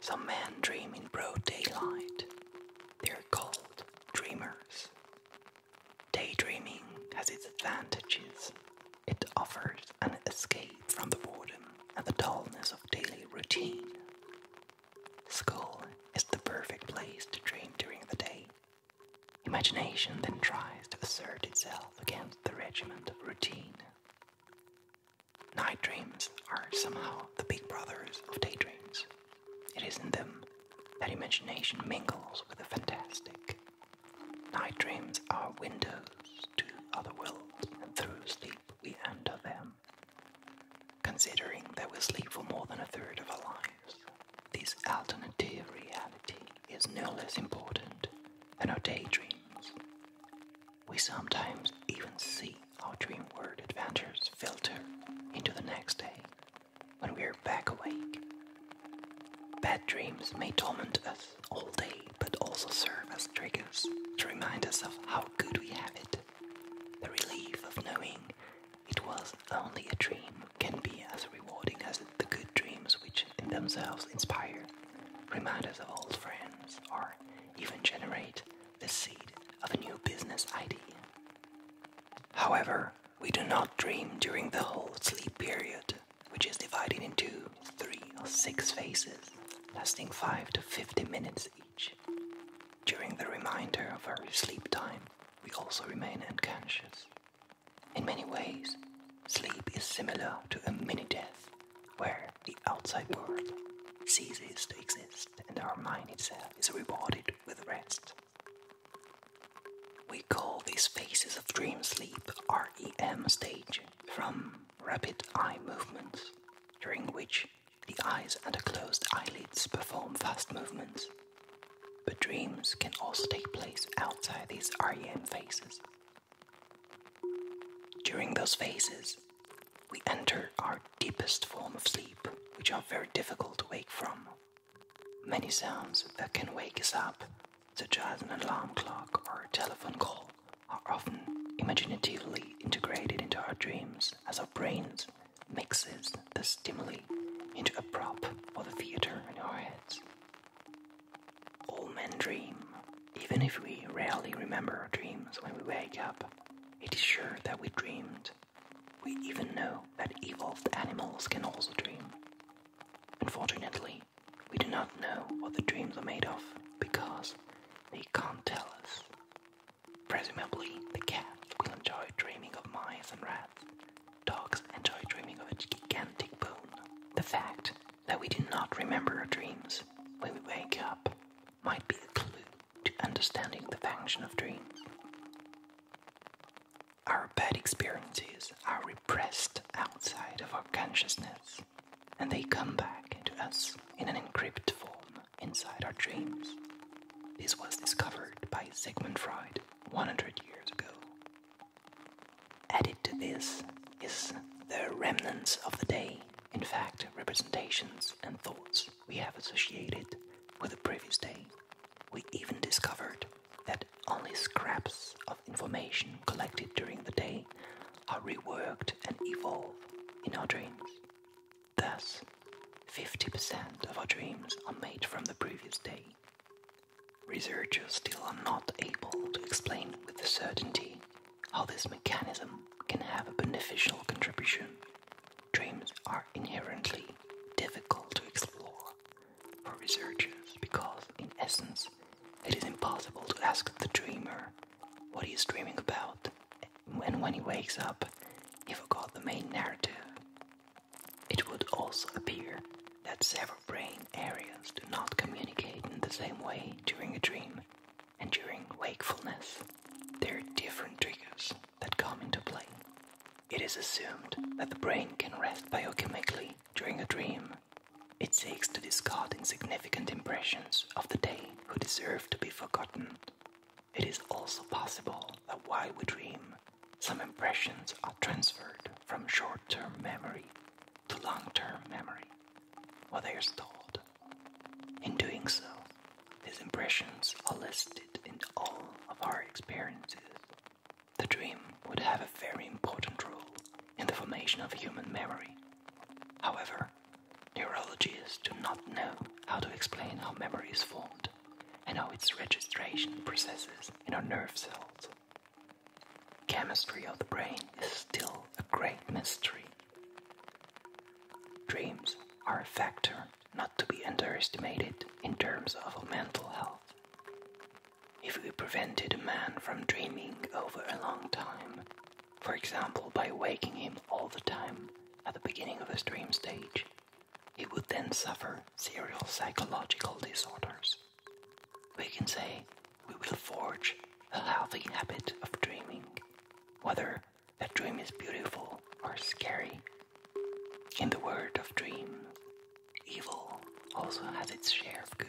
Some men dream in broad daylight. They are called dreamers. Daydreaming has its advantages. It offers an escape from the boredom and the dullness of daily routine. School is the perfect place to dream during the day. Imagination then tries to assert itself against the regiment of routine. Night dreams are somehow the big brothers of day dreams. It is in them that imagination mingles with the fantastic. Night dreams are windows to other worlds, and through sleep we enter them. Considering that we sleep for more than a third of our lives, this alternative reality is no less important than our daydreams. We sometimes even see our dream world adventures filter into the next day when we are back awake. Bad dreams may torment us all day but also serve as triggers to remind us of how good we have it. The relief of knowing it was only a dream can be as rewarding as the good dreams which in themselves inspire, remind us of old friends, or even generate the seed of a new business idea. However, we do not dream during the whole sleep period, which is divided into three or six phases, lasting 5 to 50 minutes each. During the remainder of our sleep time, we also remain unconscious. In many ways, sleep is similar to a mini death, where the outside world ceases to exist and our mind itself is rewarded with rest. We call these phases of dream sleep REM stage from rapid eye movements, during which the eyes under closed eyelids perform fast movements, but dreams can also take place outside these REM phases. During those phases, we enter our deepest form of sleep, which are very difficult to wake from. Many sounds that can wake us up, such as an alarm clock or a telephone call, are often imaginatively integrated into our dreams as our brains mixes the stimuli into a prop for the theater in our heads. All men dream. Even if we rarely remember our dreams when we wake up, it is sure that we dreamed. We even know that evolved animals can also dream. Unfortunately, we do not know what the dreams are made of because they can't tell us. Presumably, the cat will enjoy dreaming of mice and rats. Dogs enjoy dreaming of a gigantic bone. The fact that we do not remember our dreams when we wake up might be a clue to understanding the function of dreams. Our bad experiences are repressed outside of our consciousness and they come back to us in an encrypted form inside our dreams. This was discovered by Sigmund Freud 100 years ago. Added to this is the remnants of the day, in fact, representations and thoughts we have associated with the previous day. We even discovered that only scraps of information collected during the day are reworked and evolve in our dreams. Thus, 50% of our dreams are made from the previous day. Researchers still are not able to explain with certainty how this mechanism can have a beneficial contribution. Dreams are inherently difficult to explore for researchers because, in essence, it is impossible to ask the dreamer what he is dreaming about, and when he wakes up, he forgot the main narrative. It would also appear that several brain areas do not communicate in the same way during a dream and during wakefulness. There are different triggers that come into play. It is assumed that the brain can rest biochemically during a dream it seeks to discard insignificant impressions of the day who deserve to be forgotten. It is also possible that while we dream, some impressions are transferred from short term memory to long term memory, where they are stored. In doing so, these impressions are listed in all of our experiences the dream would have a very important role in the formation of human memory. However, neurologists do not know how to explain how memory is formed and how its registration processes in our nerve cells. Chemistry of the brain is still a great mystery. Dreams are a factor not to be underestimated in terms of mental health. If we prevented a man from dreaming over a long time, for example by waking him all the time at the beginning of his dream stage, he would then suffer serial psychological disorders. We can say we will forge a healthy habit of dreaming, whether that dream is beautiful or scary in the world of dreams, evil also has its share of good.